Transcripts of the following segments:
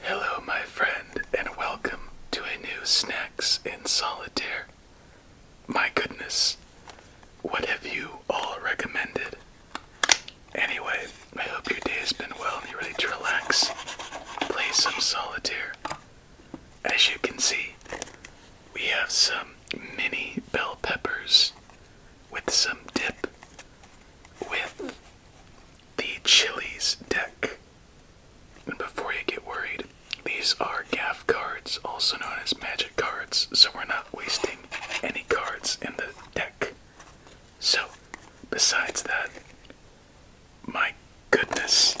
Hello, my friend, and welcome to a new Snacks in Solitaire. My goodness, what have you all recommended? Anyway, I hope your day has been well and you're ready to relax, play some solitaire. As you can see, we have some mini bell peppers with some dip, with the Chili's deck. And before you get worried, these are gaff cards, also known as magic cards, so we're not wasting any cards in the deck. So, besides that, my goodness.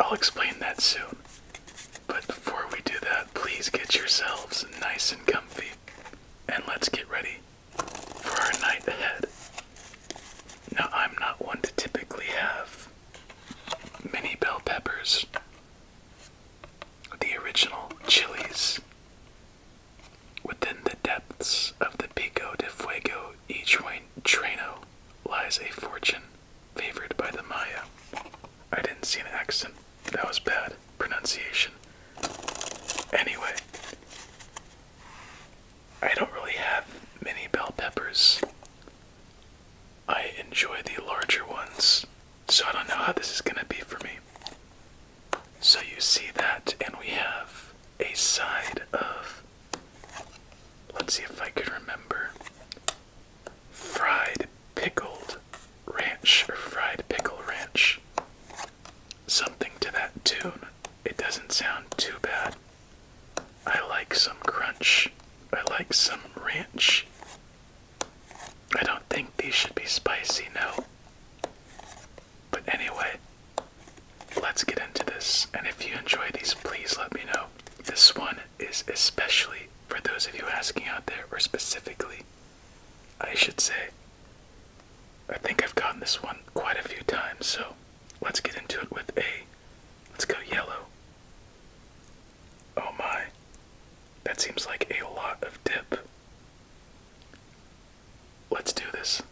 I'll explain that soon. But before we do that, please get yourselves nice and comfy and let's get ready for our night ahead. Now, I'm not one to typically have mini bell peppers, the original chilies, within the depths of the Pico de Fuego y Treno lies a fortune favored by the Maya. I didn't see an accent that was bad pronunciation. Anyway, I don't really have many bell peppers. I enjoy the larger ones, so I don't know how this is going to be for me. So you see that, and we have a side of, let's see if I can remember, fried pickled ranch or fried pickle ranch something to that tune. It doesn't sound too bad. I like some crunch. I like some ranch. I don't think these should be spicy, no. But anyway, let's get into this. And if you enjoy these, please let me know. This one is especially for those of you asking out there, or specifically I should say. I think I've gotten this one quite a few times, so let's get into it with a. Let's go yellow. Oh my. That seems like a lot of dip. Let's do this.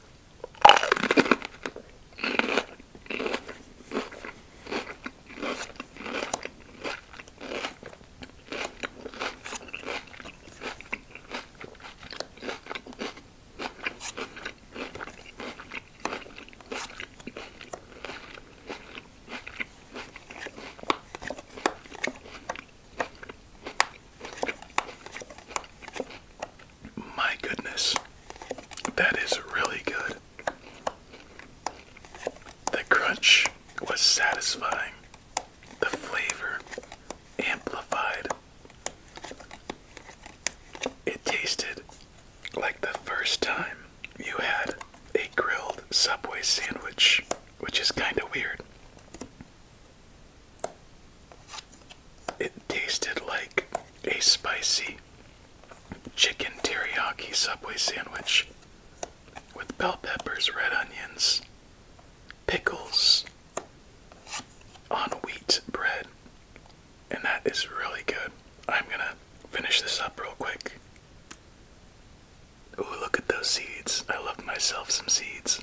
My goodness, that is really good. The crunch was satisfying the flavor amplified. It tasted like the first time you had a grilled Subway sandwich, which is kind of weird. It tasted like a spicy chicken teriyaki Subway sandwich with bell peppers, red onions, pickles, on wheat bread, and that is really good. I'm gonna finish this up real quick. Ooh, look at those seeds. I love myself some seeds.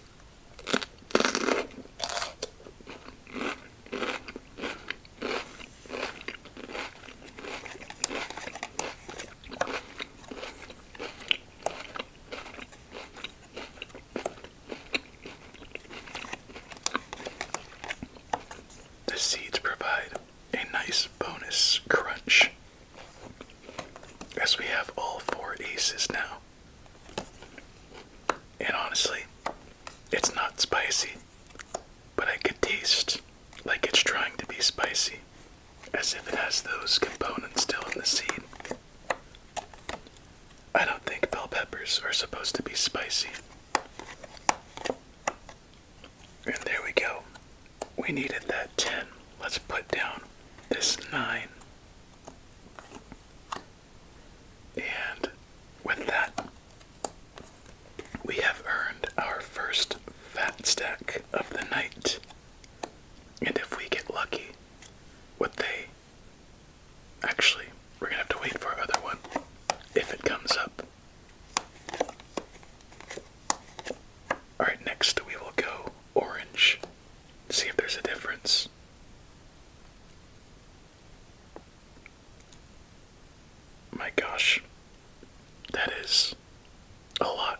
The seeds provide a nice bonus crunch, as we have all four aces now. And honestly, it's not spicy, but I could taste like it's trying to be spicy, as if it has those components still in the seed. I don't think bell peppers are supposed to be spicy. And there we go. We needed that 10. Let's put down this 9. And with that, we have earned our first fat stack of the night. And if we get lucky, what they. Actually, we're gonna have to wait for another one if it comes up. Alright, next we will go orange. See if there's a difference. My gosh, that is a lot.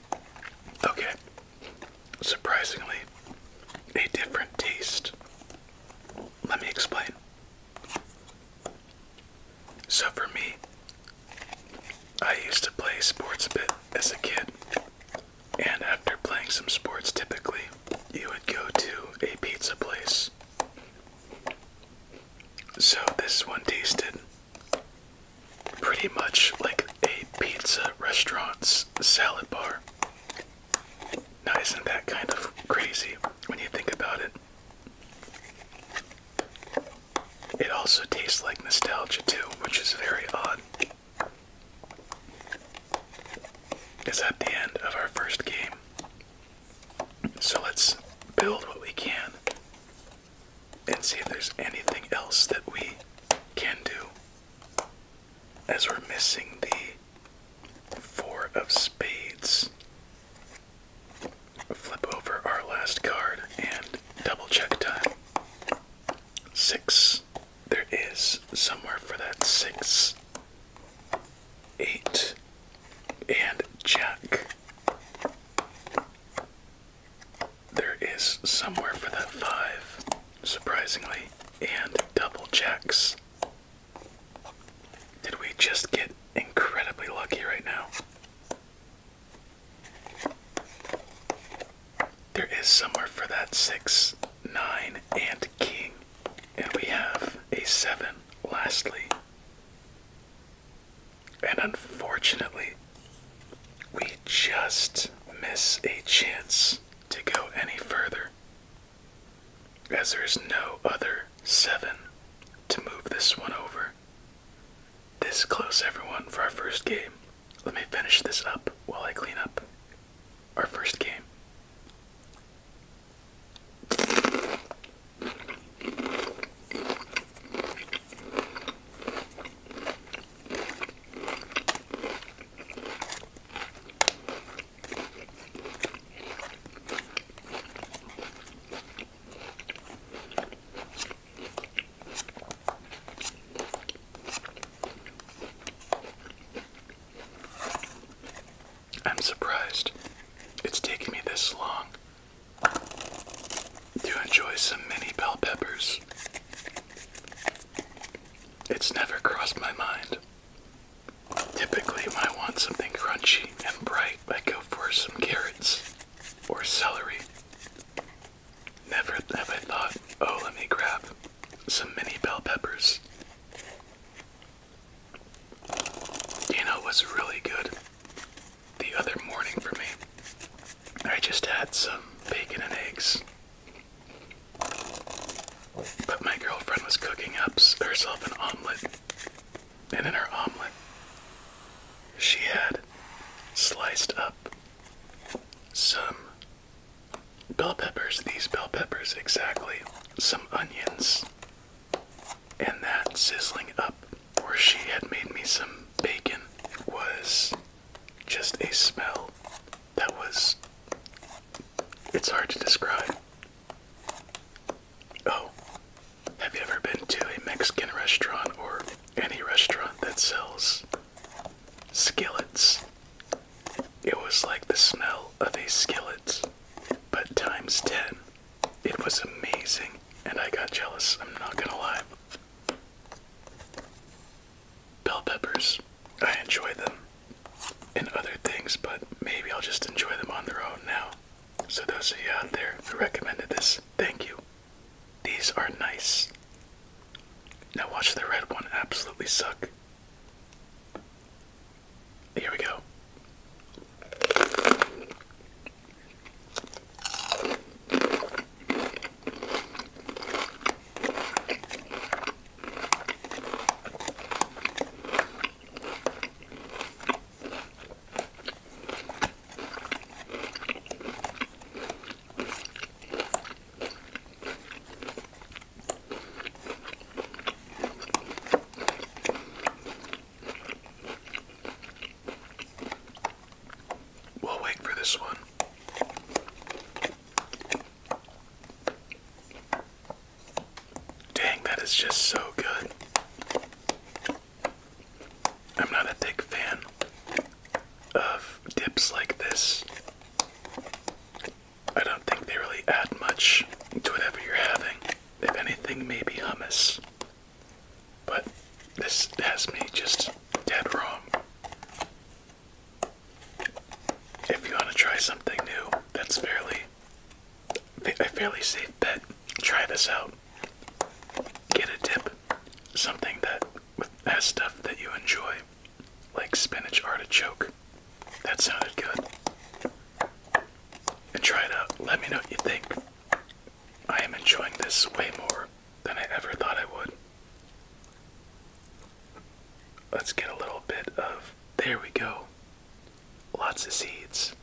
Okay, surprisingly, a different taste. Let me explain. So, for me, I used to play sports a bit as a kid, and after playing some sports, typically you would go to a pizza place. So, this one tasted pretty much like a pizza restaurant's salad bar. Now, isn't that kind of crazy when you think about it? It also tastes like nostalgia, too, which is very odd. It's at the end of our first game. So let's build what we can and see if there's anything else that we can do as we're missing the four of spades. Flip over our last card and double check time. Six. There is somewhere for that six. Eight. And jack. There is somewhere for that five, surprisingly, and double jacks. Did we just get incredibly lucky right now? There is somewhere for that six, nine, and king. And we have a seven, lastly. And unfortunately, we just miss a chance to go any further, as there's no other seven to move this one over. This close, everyone, for our first game. Let me finish this up while I clean up our first game. I'm surprised it's taken me this long to enjoy some mini bell peppers. It's never crossed my mind. Typically, when I want something crunchy and bright, I go for some carrots or celery. Never have I thought, oh, let me grab some mini bell peppers. You know what's really good? The other morning for me, I just had some bacon and eggs but my girlfriend was cooking up herself an omelet, and in her omelet, she had sliced up some bell peppers, these bell peppers exactly, some onions, and that sizzling up where she had made me some bacon was just a smell that was. It's hard to describe. Oh, have you ever been to a Mexican restaurant or any restaurant that sells skillets? It was like the smell of a skillets, but times 10. It was amazing, and I got jealous, I'm not gonna lie. Bell peppers. I enjoy them and other things, but maybe I'll just enjoy them on their own now. So, those of you out there who recommended this, thank you. These are nice. Now, watch the red one absolutely suck. Here we go. We'll wait for this one. Dang, that is just so good. I'm not a big fan of dips like this. I don't think they really add much to whatever you're having. If anything, maybe hummus. But this has me just dead wrong. If you want to try something new, that's fairly a fairly safe bet. Try this out. Get a dip, something that has stuff that you enjoy, like spinach artichoke. That sounded good. And try it out. Let me know what you think. I am enjoying this way more than I ever thought I would. Let's get a little bit of. There we go. Lots of seeds.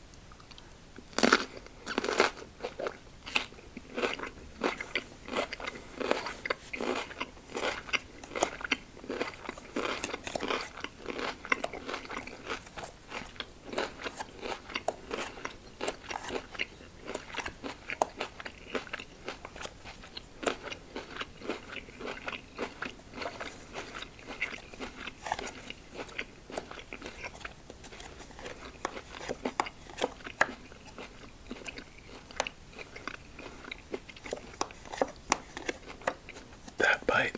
That bite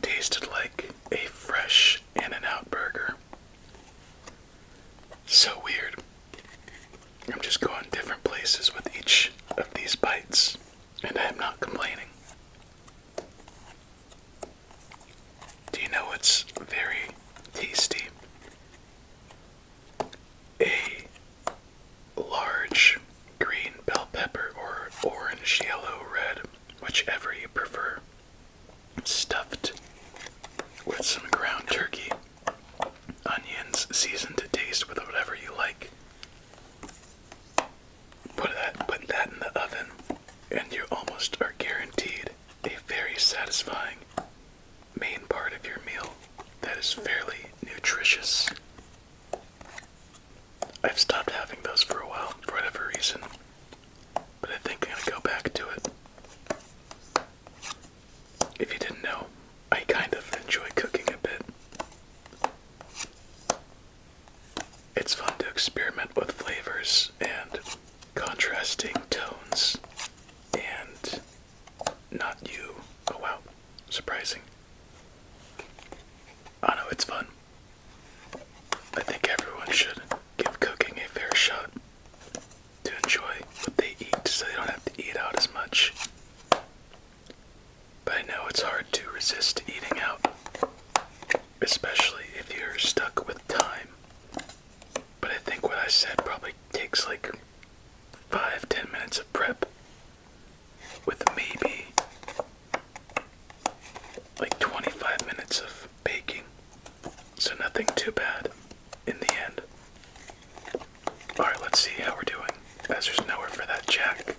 tasted like a fresh In-N-Out burger. So weird. I'm just going different places with each of these bites, and I am not complaining. Do you know what's very tasty? A large green bell pepper or orange, yellow, red, whichever you prefer, stuffed with some ground turkey Onions seasoned to taste with whatever you like. Put that put that in the oven and you almost are guaranteed a very satisfying main part of your meal that is fairly nutritious. I've stopped having those for a while for whatever reason, but I think I'm gonna go back to it. If you didn't know, I kind of enjoy cooking a bit. It's fun to experiment with flavors and contrasting tones and not you. Oh wow, surprising. I know it's fun. I think everyone should give cooking a fair shot to enjoy what they eat so they don't have to eat out as much. But I know it's hard to resist eating out, especially if you're stuck with time. But I think what I said probably takes like five, ten minutes of prep, with maybe like 25 minutes of baking. So nothing too bad in the end. Alright, let's see how we're doing. As there's nowhere for that jack,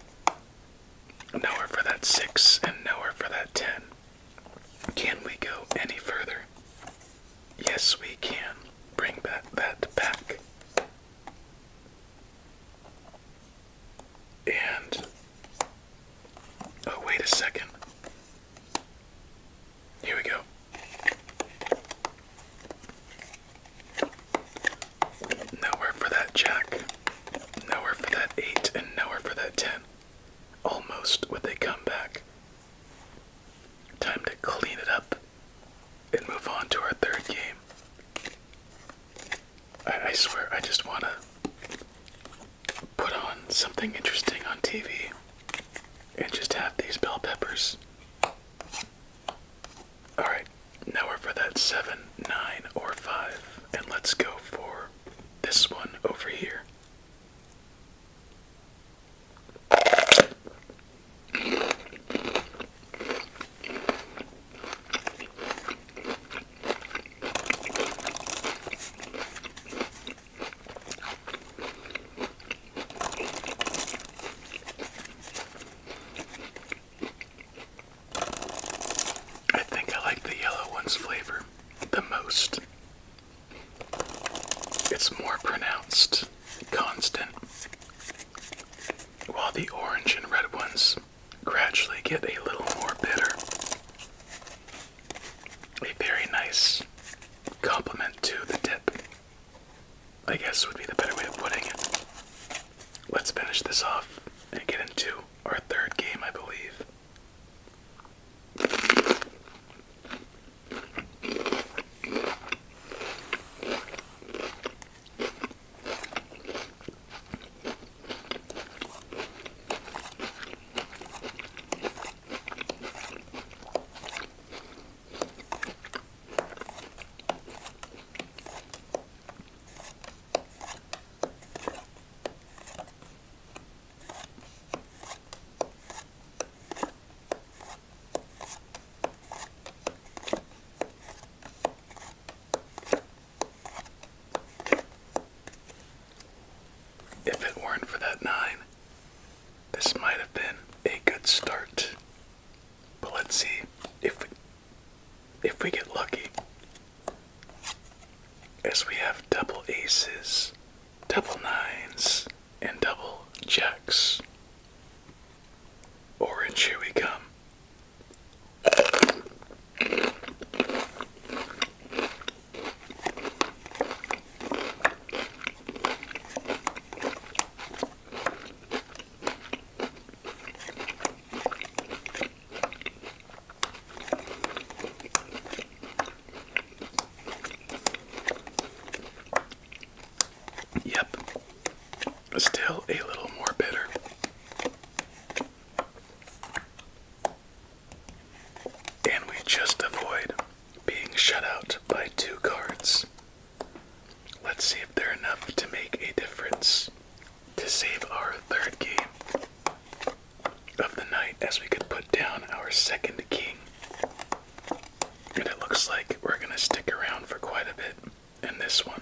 nowhere for that 6, and nowhere for that 10. Can we go any further? Yes, we can. Bring that, that back. And. Oh, wait a second. Here we go. Nowhere for that jack. Nowhere for that 8 and nowhere for that 10. Almost with a comeback. Time to clean it up and move on to our third game. I swear, I just want to put on something interesting on TV and just have these bell peppers Alright, now we're for that 7, 9, or 5. And let's go for this one over here. I think I like the yellow one's flavor the most. It's more pronounced, constant, while the orange and red ones gradually get a little more bitter. A very nice complement to the dip. I guess would be the better way of putting it. Let's finish this off and get into our third game, I believe. If it weren't for that nine, this might have been a good start but let's see if we, if we get lucky. As we have double aces, double nines, and double jacks. Orange, here we come. Yep, still a little more bitter. And we just avoid being shut out by two cards Let's see if they're enough to make a difference to save our third game of the night as we could put down our second king. And it looks like we're going to stick around for quite a bit in this one.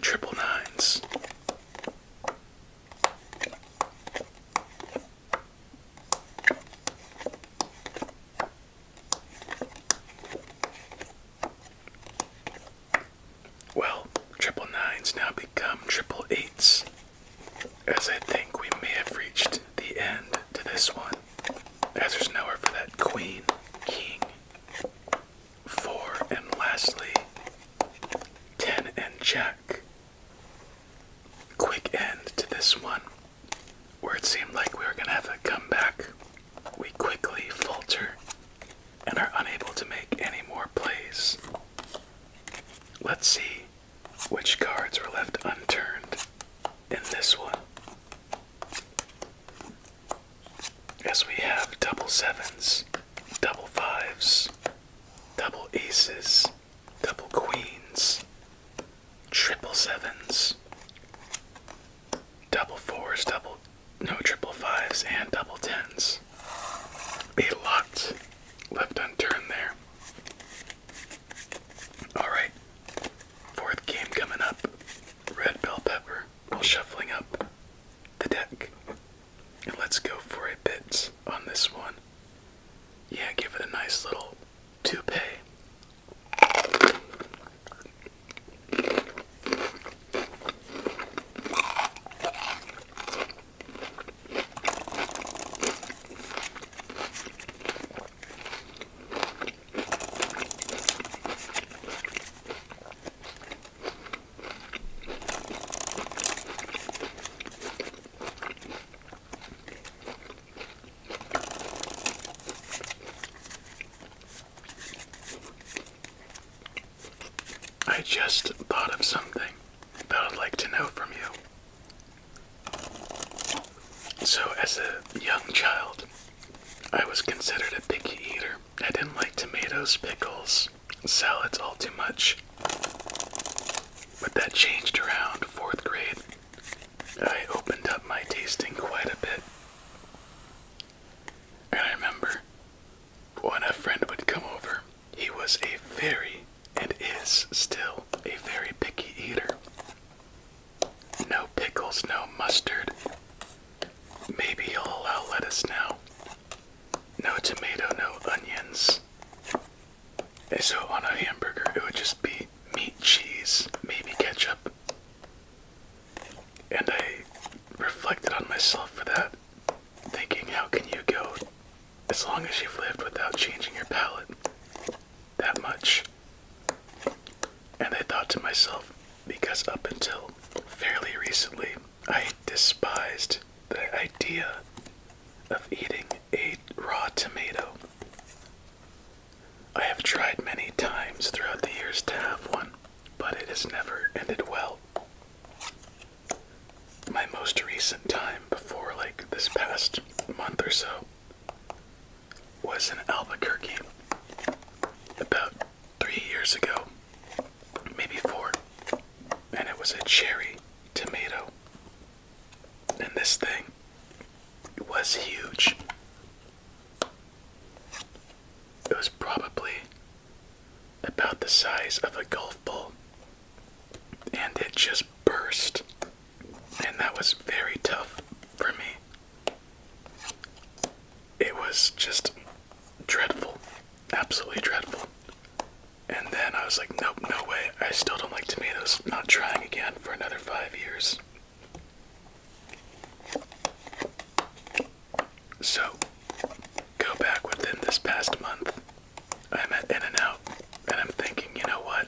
Triple nines. Well, triple nines now become triple eights, as I think we may have reached the end to this one as there's nowhere for that queen, king, four, and lastly, ten and jack. Quick end to this one, where it seemed like we were gonna have a comeback. We quickly falter and are unable to make any more plays. Let's see which cards were left unturned in this one. As we have double sevens, double fives, double aces, double queens, triple sevens, double fours, double no triple fives, and double tens. A lot left unturned there. Alright, fourth game coming up. Red Bell Pepper while shuffling up the deck. And let's go for a bit on this one. Yeah, give it a nice little toupee. I just thought of something that I'd like to know from you. So, as a young child, I was considered a picky eater. I didn't like tomatoes, pickles, salads all too much. But that changed around fourth grade. I opened up my tasting quite a bit. And I remember when a friend would come over, he was a very, and is still, a very picky eater. No pickles, no mustard. Maybe he'll allow lettuce now. No tomato, no onions. And eh, so on a hamburger, it would just be meat, cheese, maybe ketchup. And I reflected on myself for that, thinking, how can you go as long as you've lived without changing your palate? that much. And I thought to myself, because up until fairly recently, I despised the idea of eating a raw tomato. I have tried many times throughout the years to have one, but it has never ended well. My most recent time before, like this past month or so, was in Albuquerque about three years ago, maybe four, and it was a cherry tomato. And this thing was huge. It was probably about the size of a golf ball, and it just burst. And that was very tough for me it was just dreadful, absolutely dreadful. And then I was like, nope, no way. I still don't like tomatoes. Not trying again for another five years. So, go back within this past month. I'm at In-N-Out, and I'm thinking, you know what?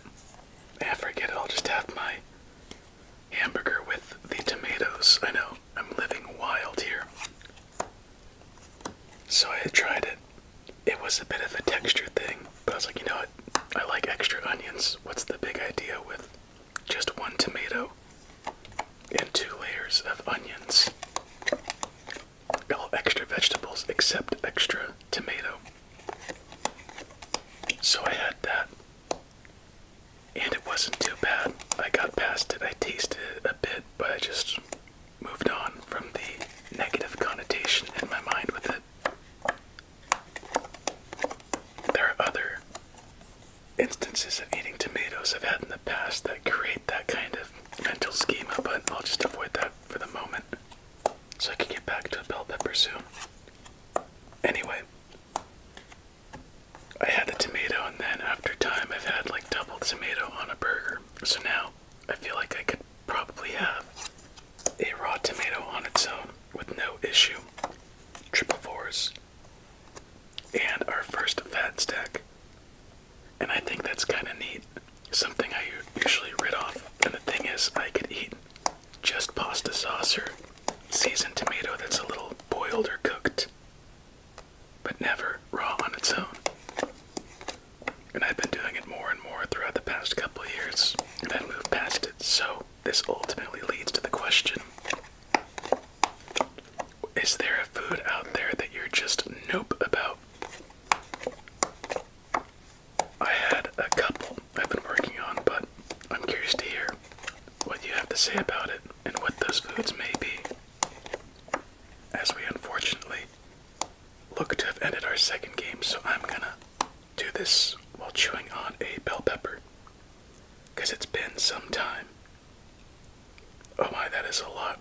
I eh, forget I'll just have my hamburger with the tomatoes. I know, I'm living wild here. So I tried it. It was a bit of a texture thing, but I was like, you know what? I like extra onions. What's the big idea with just one tomato and two layers of onions? All extra vegetables except extra tomato. So I had that and it wasn't too bad. I got past it, I tasted it a bit, but I just moved on from the negative connotation in my mind with it. There are other instances of eating tomatoes I've had in the past that create that kind of mental schema, but I'll just avoid that for the moment so I can get back to a bell pepper soon. Anyway, I had the tomato, and then after time, I've had like double tomato on a burger. So now I feel like I could probably have a raw tomato on its own with no issue. Triple fours. And our first fat stack. And I think that's kind of neat. Something I usually rid off. And the thing is, I could eat just pasta sauce or seasoned tomato that's a little boiled or cooked, but never raw on its own. And I've been doing it more and more throughout the past couple years, and I've moved past it. So, this ultimately leads to the question Is there a food out there that you're just nope about? I had a couple I've been working on, but I'm curious to hear what you have to say about it and what those foods may be, as we unfortunately look to have ended our second game, so I'm gonna do this while chewing on a bell pepper because it's been some time. Oh my, that is a lot.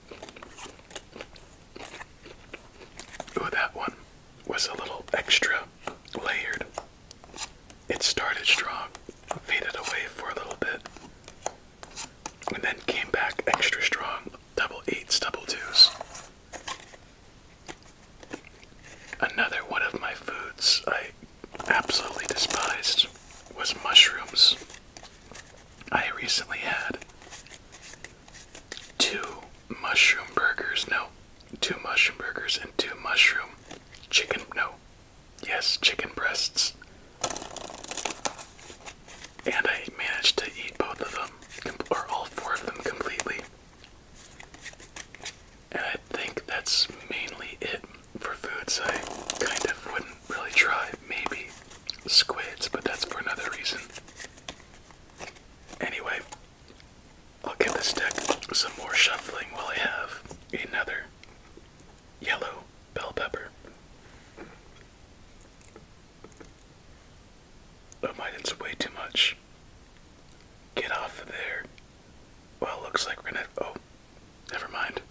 Ooh, that one was a little extra layered. It started strong, faded away for a little bit, and then came back extra strong. Double eights, double twos. Another one of my foods I absolutely despised was mushrooms. I recently had two mushroom burgers. No, two mushroom burgers and two mushroom chicken. No, yes, chicken breasts. And I managed to eat both of them, or all four of them completely. And I think that's mainly it for foods I kind of wouldn't really try. Maybe squids, but that's for another reason. Anyway, I'll give this deck some more shuffling while I have another yellow bell pepper. Oh my, that's way too much. Get off of there. Well, looks like we're gonna. Oh, never mind.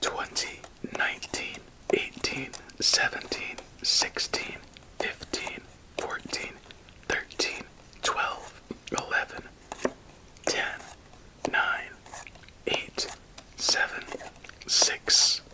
Twenty, nineteen, eighteen, seventeen, sixteen, fifteen, fourteen, thirteen, twelve, eleven, ten, nine, eight, seven, six,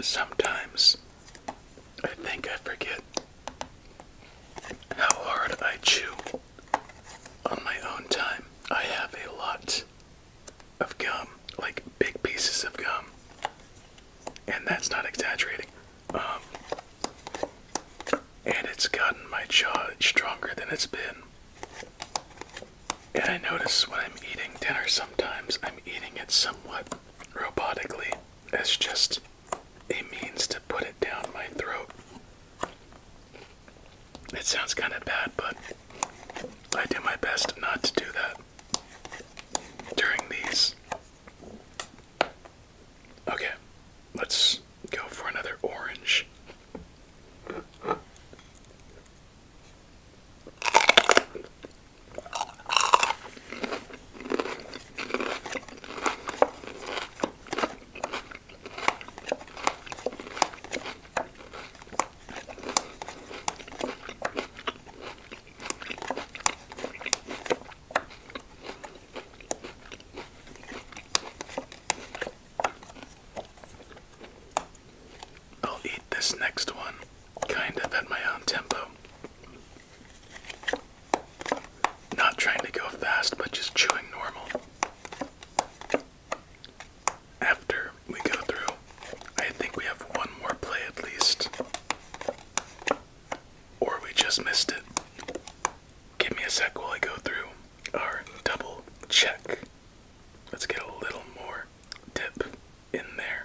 Sometimes I think I forget how hard I chew on my own time, I have a lot of gum, like big pieces of gum, and that's not exaggerating. Um, and it's gotten my jaw stronger than it's been. And I notice when I'm eating dinner sometimes, I'm eating it somewhat robotically as just a means to put it down my throat. It sounds kind of bad, but I do my best not to do that during these. Okay, let's go for another orange. I'll eat this next one kind of at my own tempo. Not trying to go fast, but just chewing normal after we go through, I think we have one more play at least. Or we just missed it. Give me a sec while I go through our double check. Let's get a little more dip in there.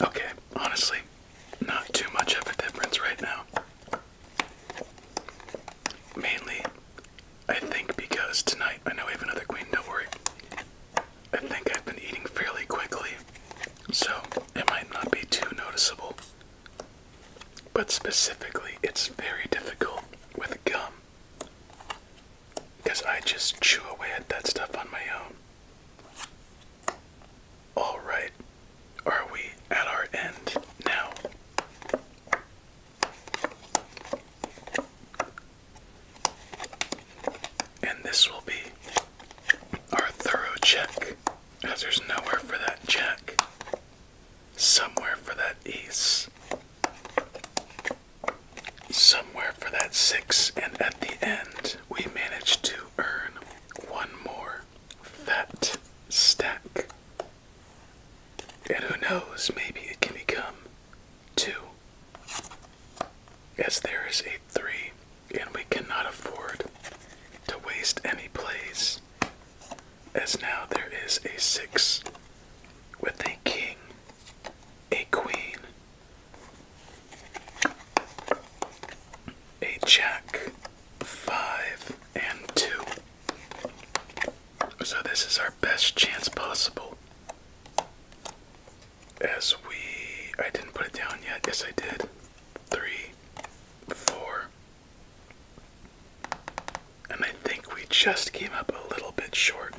Okay, honestly, not too much of a difference right now. Mainly, I think because tonight, I know we have another queen, don't worry. I think I've been eating fairly quickly, so it might not be too noticeable. But specifically, it's very difficult with gum. Because I just chew away at that stuff on my own. All right, are we at our end now? And this will be our thorough check, as there's nowhere for that jack, somewhere for that ace, somewhere for that six, and at the end, we managed to earn one more fat stack. And who knows, maybe it can become two. As there is a three, and we cannot afford to waste any plays. As now there is a six with a king, a queen, a jack, five, and two. So this is our best chance possible. As we. I didn't put it down yet. Yes, I did. Three, four. And I think we just came up a little bit short.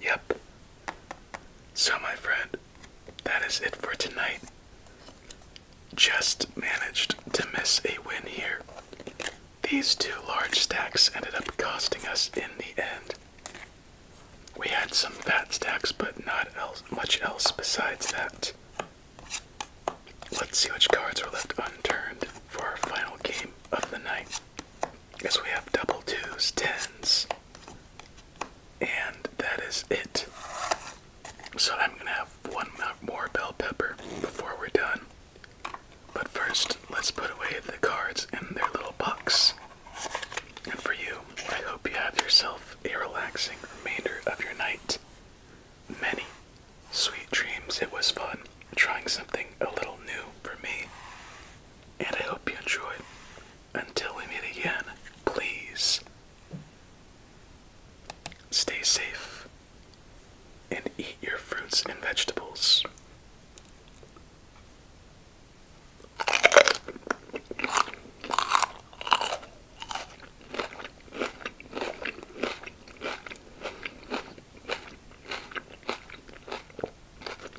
Yep. So, my friend, that is it for tonight. Just managed to miss a win here. These two large stacks ended up costing us in the end. We had some fat stacks, but not much else besides that. Let's see which cards are left unturned for our final game of the night. Yes, we have double twos, tens, and that is it. So I'm gonna have one more bell pepper before we're done. But first, let's put away the cards in their little box. And for you, I hope you have yourself a relaxing remainder of your night. Many sweet dreams. It was fun trying something a little new for me. And I hope you enjoyed until we meet again, please stay safe and eat your fruits and vegetables.